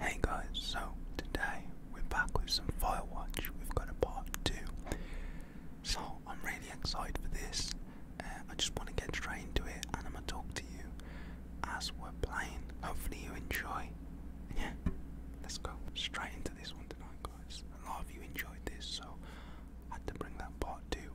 Hey guys, so today we're back with some Firewatch. We've got a part two. So I'm really excited for this. Uh, I just want to get straight into it and I'm going to talk to you as we're playing. Hopefully you enjoy. Yeah, let's go straight into this one tonight, guys. A lot of you enjoyed this, so had to bring that part two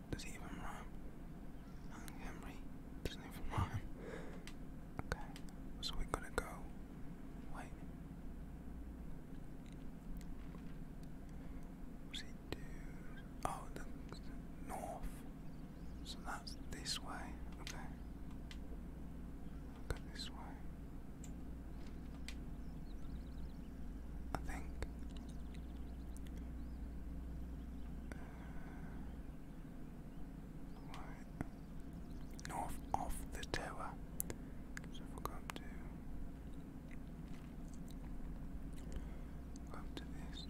Does he even rhyme? Henry doesn't even rhyme. Okay, so we're to go. Wait. What's he do? Oh, the, north. So that's this way. Okay. Go this way. I think. Uh, Right. North of the tower. So we'll to go to this.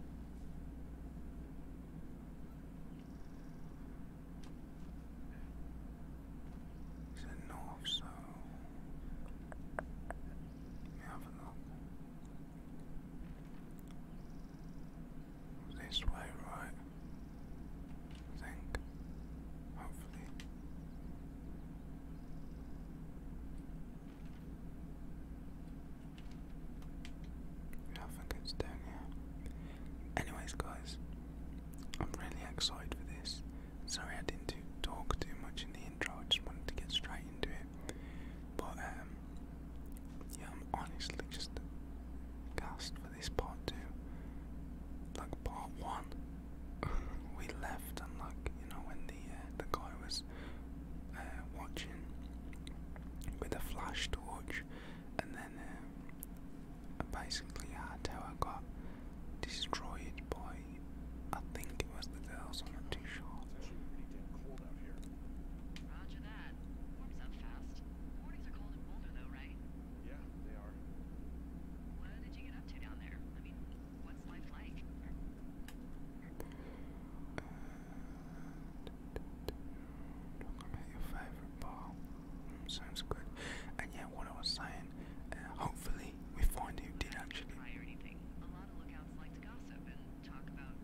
It's north, so let have a look. This way, right? I think. Hopefully. Yeah, I down here. Anyways, guys, I'm really excited for this. Sorry I didn't do talk too much in the intro, I just wanted to get straight into it. But um, yeah, I'm honestly just gassed for this part too. Like part one, we left and like you know when the uh, the guy was uh, watching with a flash torch, and then um, basically our tower got destroyed by I think it was the girls. I'm not too sure. Roger that. Warms up fast. Mornings are cold in Boulder, though, right? Yeah, they are. What did you get up to down there? I mean, what's life like? Uh, i your favorite bar. Mm, sounds good. And yeah, what I was saying, uh, hopefully we find who did actually.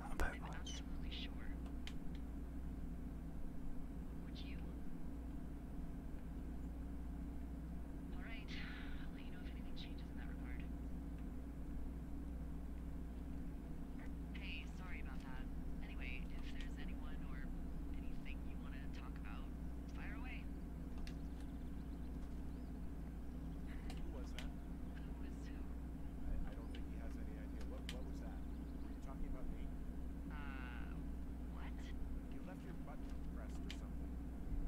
How about I'm not absolutely sure. Would you? Alright, I'll let you know if anything changes in that regard. Hey, sorry about that. Anyway, if there's anyone or anything you want to talk about, fire away. Who was that? What, was that? you talking about me? Uh, what? You or something.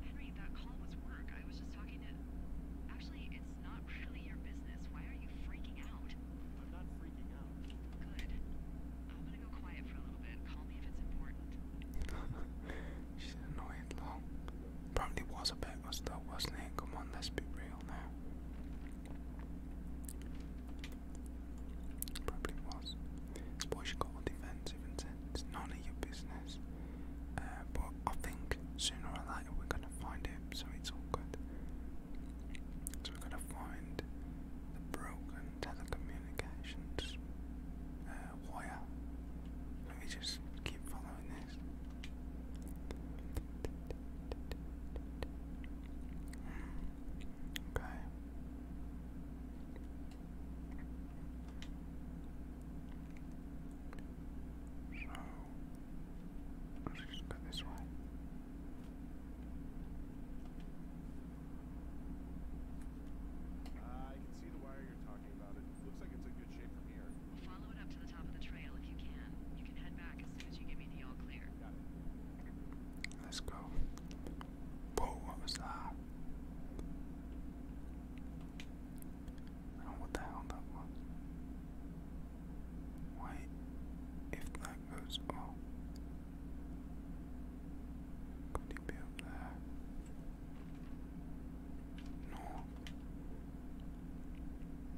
Henry, that call was work. I was just talking to... Actually, it's not really your business. Why are you freaking out? I'm not freaking out. Good. I'm gonna go quiet for a little bit. Call me if it's important. She's annoyed, Probably was a bit, was though, wasn't it? Come on, let's be real. Probably was. Suppose you got all defensive and it's none of your business. Uh, but I think sooner or later we're gonna find him, so it's all good. So we're gonna find the broken telecommunications uh, wire. Let me just keep following Okay. So let's go this way. Uh, I can see the wire you're talking about. It looks like it's a good. We'll follow it up to the top of the trail if you can. Let's go. what was that? what the hell that was. Wait, if that goes oh. Could he be up there? No.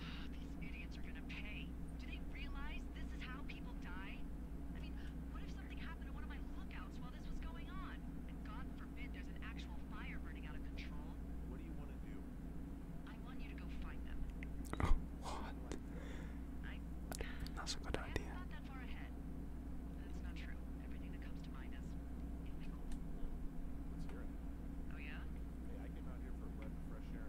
Ah, these idiots are gonna pay. Do they realize this is how people die? I mean, what if something happened to one of my lookouts while this was going on? And God forbid there's an actual fire burning out of control. What do you want to do? I want you to go find them. what? That's a good idea. Not that far ahead. That's not true. Everything that comes to mind is Let's hear it. Oh yeah? Hey, I came out here for a breath of fresh air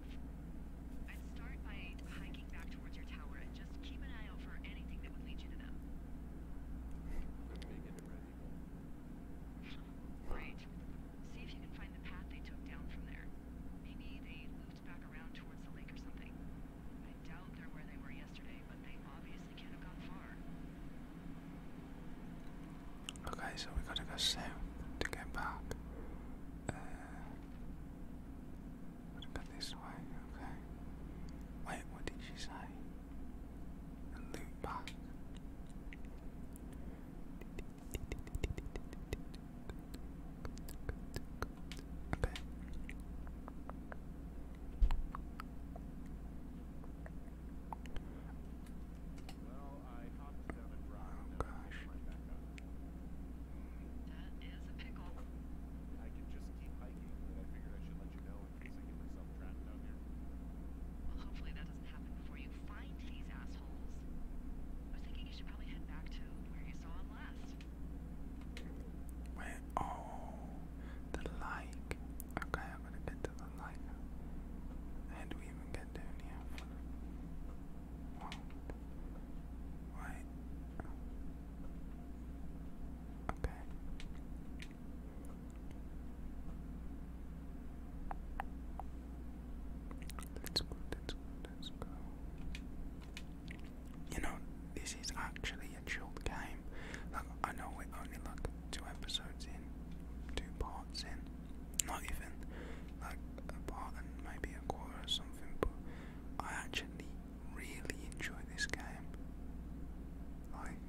Uh, I'd start by hiking back towards your tower and just keep an eye out for anything that would lead you to them. See if you can find the path they took down from there. Maybe they looped back around towards the lake or something. I doubt they're where they were yesterday, but they obviously can't have gone far. Okay, so we gotta go south to get back. Uh, what about this way? Okay. Wait, what did she say? A loot box. Okay. Well, Oh gosh. That is a pickle. I can just keep hiking, but I figured I should let you know in case I get myself trapped down here. Well, hopefully that doesn't happen before you find these assholes. I was thinking you should probably head back to where you saw him last. Wait, oh, the like. Okay, I'm gonna get to the like. And do we even get down here? Wow, Right. Okay. Let's go, let's go, let's go. You know, this is actually a chilled game. Look, I know we're only like two episodes in, two parts in, not even like a part and maybe a quarter or something, but I actually really enjoy this game. Like,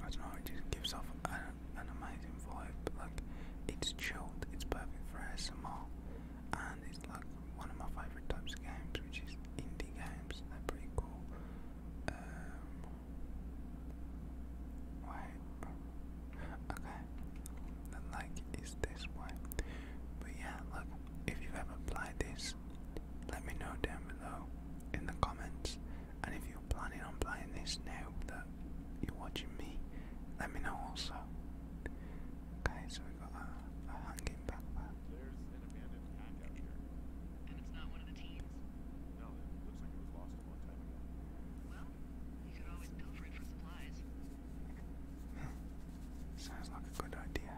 I don't know, it just gives off an, an amazing vibe. Like, it's chilled, it's perfect for ASMR, and it's like one of my favourite types of games, which is indie games. They're pretty cool. Um, wait, Okay, like is this way. But yeah, look, if you've ever applied this, let me know down below in the comments. And if you're planning on playing this now that you're watching me, let me know also. Okay, we got a, a hanging There's an abandoned pack out here. Sounds like a good idea.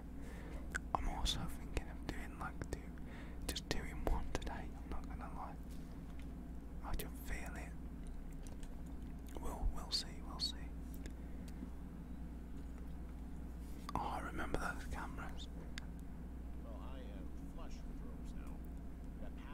I'm also thinking of doing like two, just doing one today. I'm not gonna lie. I just feel it. We'll we'll see. We'll see. Oh, I remember those cameras.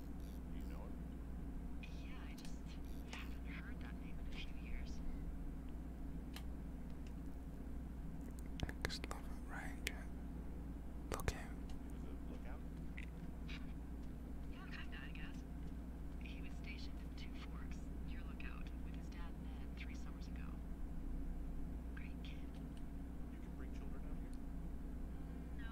You know it? Look out. Look out? yeah, kinda, I guess. He was stationed in Two Forks, your lookout, with his dad Ned three summers ago. Great kid. You can bring children out here? Mm, no,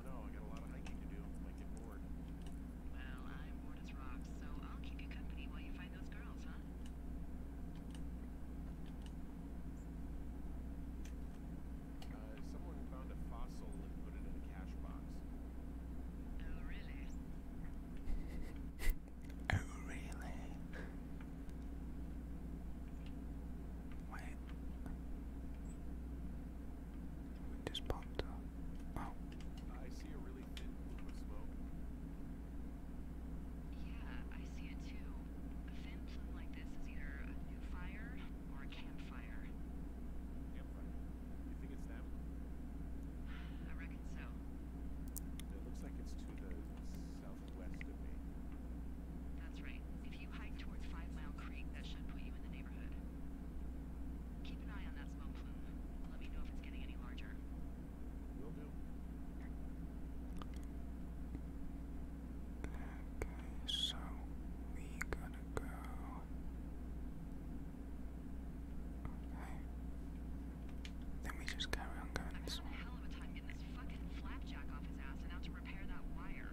do I got a lot of hiking to do. I get bored. Well, I'm bored as rocks, so I'll keep you company while you find those girls, huh? Uh, someone found a fossil and put it in a cash box. Oh, really? oh, really? Wait. It just popped up. Oh. Yeah, I see it too. A thin plume like this is either a new fire or a campfire. Campfire? You think it's them? I reckon so. It looks like it's to the southwest of me. That's right you hike towards Five Mile Creek, that should put you in the neighborhood. Keep an eye on that smoke plume. Let me know if it's getting any larger. Will do. Okay, so we gotta go. Okay. Then we just carry on going I've had a hell of a time getting this fucking flapjack off his ass and out to repair that wire.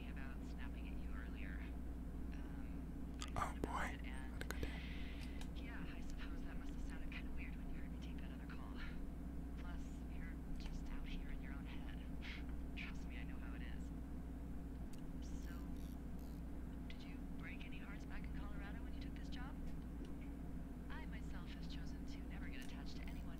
Um, oh boy. Yeah, I suppose that must have sounded kind of weird when you heard me take that other call. Plus, you're just out here in your own head. Trust me, I know how it is. So, did you break any hearts back in Colorado when you took this job? I myself have chosen to never get attached to anyone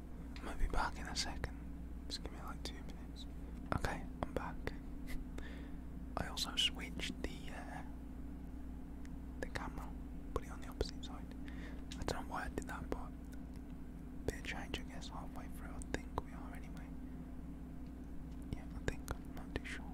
i will be back in a second. Just give me like two minutes. Okay, I'm back. I also switched the uh, the camera, put it on the opposite side. I don't know why I did that, but bit of change, I guess, halfway through. I think we are anyway. Yeah, I think not too sure.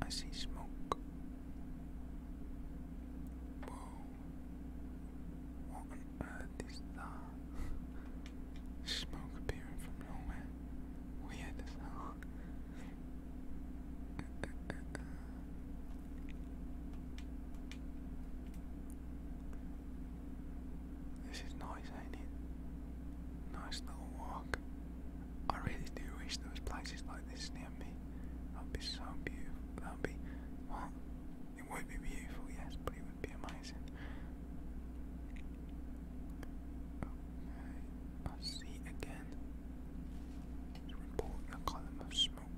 I see smoke. Whoa. What on earth is that? smoke appearing from nowhere. Weird as hell. This is nice, ain't it? Nice little walk. I really do wish there was places like this near me. That'd be so beautiful. That'd be it would be beautiful, yes, but it would be amazing. I see again. Report a column of smoke. Oh. you.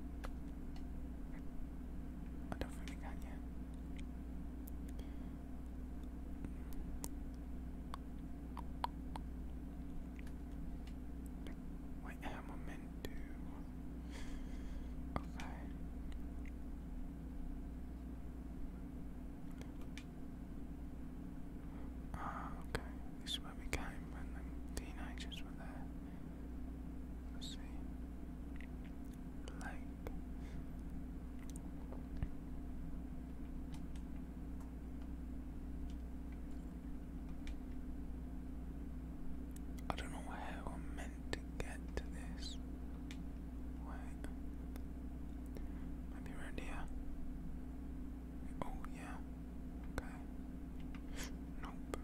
What am to? Okay. Ah, okay. This is where we came when the teenagers were there see, like I don't know how I'm meant to get to this. Wait, maybe right here. Oh yeah. Okay. Nope.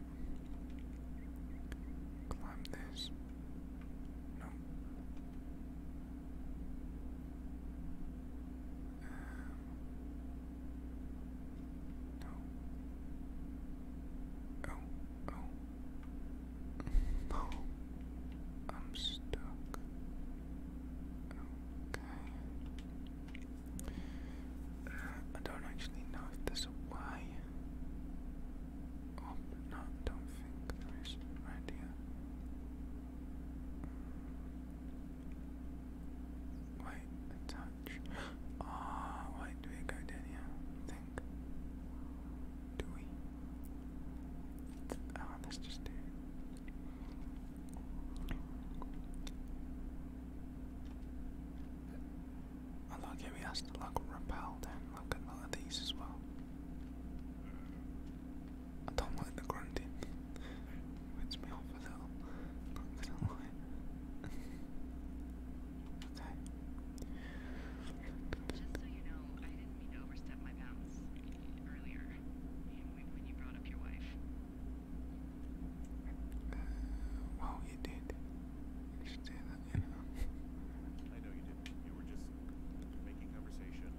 Climb this. No. Um, no. no. I'm stuck. Okay. Uh, I don't actually know if there's a way. Oh, no, don't think there is right here. Wait, touch. Ah, oh, do we go down Think. Do we? oh, ah, let's just do it. Allah giving us the luck repelled and look at all of these as well. I don't like the grunting. It me off a little. Not gonna lie. okay. Just uh, you did you did. that. I know you did You were just making conversation.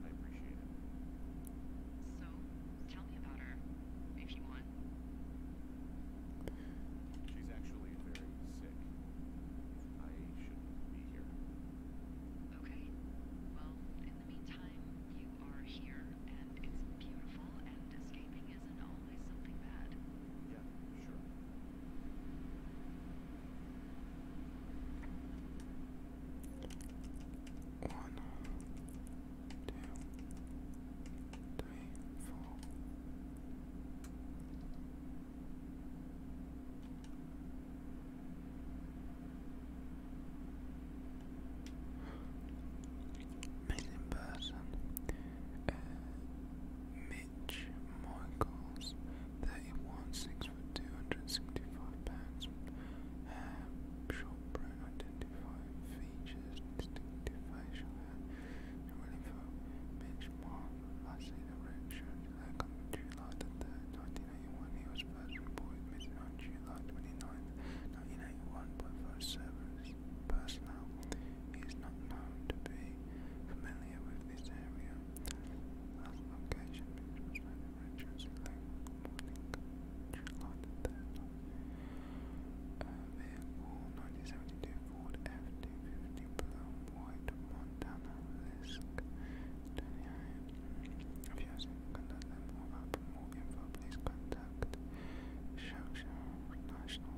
I appreciate it. So, tell me about her, if you want. She's actually very sick. I shouldn't be here. Okay. Well, in the meantime, you are here, and it's beautiful, and escaping isn't always something bad. Yeah, sure. One, two, three, four. Missing person. Uh, Mitch Michaels, 31, 6 foot 2, 165 pounds. Um, short brown identified features, distinctive facial hair. And really for Mitch Marvel, last seen around showed like on July the 3rd, 1981. He was first reported missing on July 29th, 1981 by first service personnel is not known to be familiar with this area. Last location is Regency Lake, morning, July the 3rd. Uh, vehicle 1972 Ford FT50 below White, Montana, Lisk, if you have seen contact them please contact Shawshank National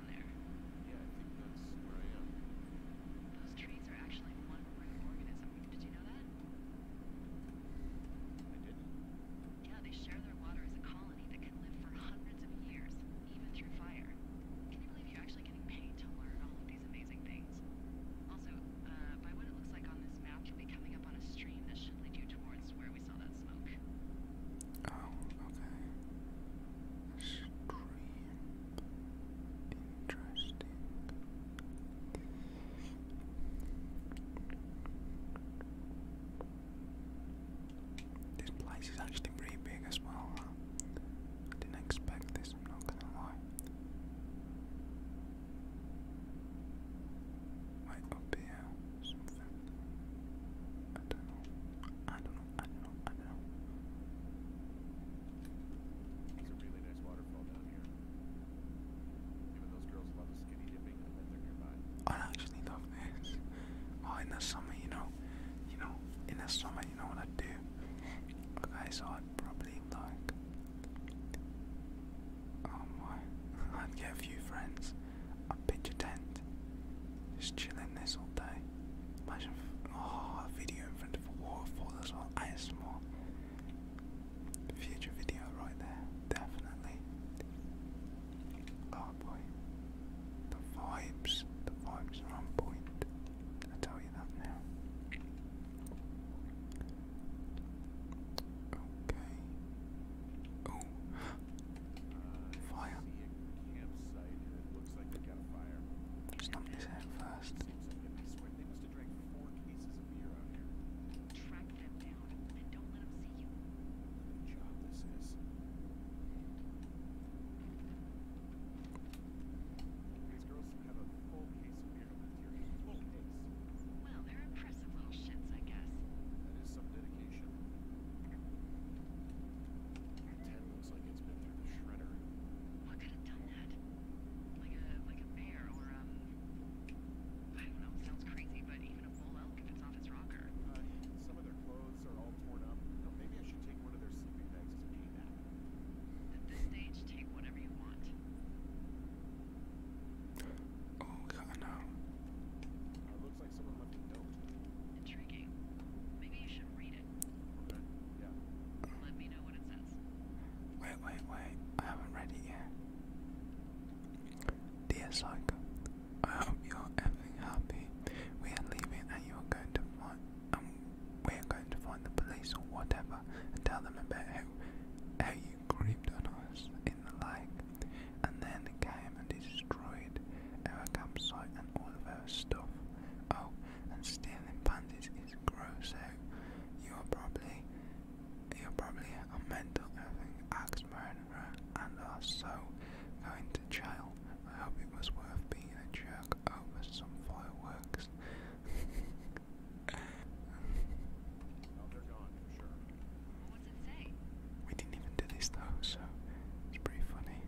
down Yeah, I where Those trees are actually one living organism. Did you know that? I didn't. Yeah, they share their water as a colony that can live for hundreds of years, even through fire. Can you believe you're actually getting paid to learn all of these amazing things? Also, uh, by what it looks like on this map, you'll be coming up on a stream that should lead you towards where we saw that smoke. Oh, okay. stream. Interesting. This place is actually pretty big as well. I didn't expect this, I'm not gonna lie. Right up here, I don't know. I know, I actually love this. Oh, in the summer, you know, you know, in the summer, you know what I do? Okay, so I'd probably like, oh my, I'd get a few friends. i pitch a tent, just chilling this all day. Imagine oh, a video in front of a waterfall as well. ASMR. Future video right there, definitely. Oh boy. The vibes, the vibes are on point. I tell you that now. Okay. Oh. Fire. Looks like they first. Track them down don't let them see you. What job this is. These girls have a full case of beer left here. Full case. Well, they're impressive little shits, I guess. That is some dedication. Ten looks like it's been through the shredder. What could have done that? Like a like a bear or um I don't know, sounds crazy, but even a bull elk if off its rocker. Uh, some of their clothes are all torn up. No, maybe I should take one of their sleeping bags to pay back. At stage, take whatever you want. Oh god no. Uh, looks like someone left a Intriguing. Maybe you should read Wait, wait, wait. I haven't read it yet. Dear Psycho, I hope you're everything happy. We are leaving and you are going to find um, we are going to find the police or whatever and tell them about how how you creeped on us in the lake and then came and destroyed our campsite and all of our stuff. Oh and stealing panties is gross. So eh? you're probably you're probably a mental having axe murderer and are so going to jail. I hope it was worth being a jerk over some fireworks. Oh, they're gone what's it say? We didn't even do this though, so it's pretty funny.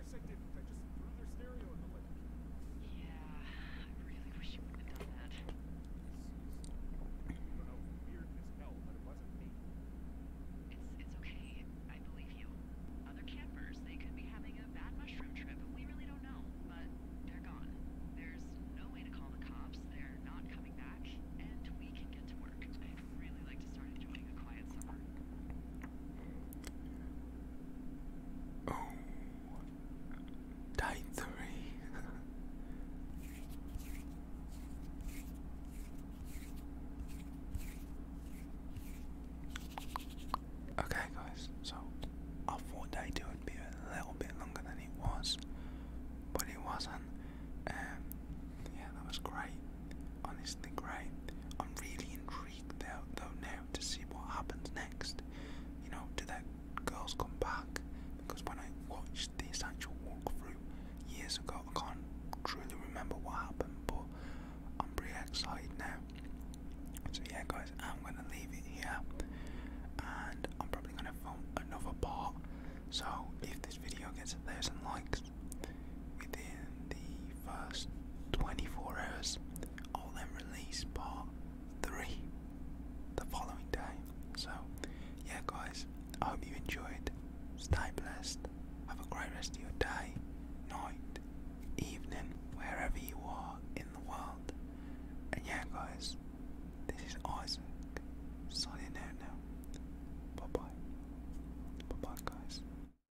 Yeah, I really wish you would have done that. It's, it's okay. I believe you. Other campers, they could be having a bad mushroom trip. We really don't know, but they're gone. There's no way to call the cops. They're not coming back, and we can get to work. I'd really like to start enjoying a quiet summer. Oh, died three. okay, guys. So I thought day two would be a little bit longer than it was, but it wasn't. Um, yeah, that was great. Honestly, great. I'm really intrigued intrigued though, now to see what happens next. You know, do that girls come back? Because when I watched this actual walkthrough years ago, I can't truly remember what happened, but I'm pretty excited now. So yeah, guys, I'm gonna leave it here, and I'm probably gonna film another part. So if this video gets a thousand likes, Within the first 24 hours, all them released part 3 the following day. So, yeah, guys, I hope you enjoyed. Stay blessed. Have a great rest of your day, night, evening, wherever you are in the world. And yeah, guys, this is Isaac signing out now. Bye bye. Bye bye, guys.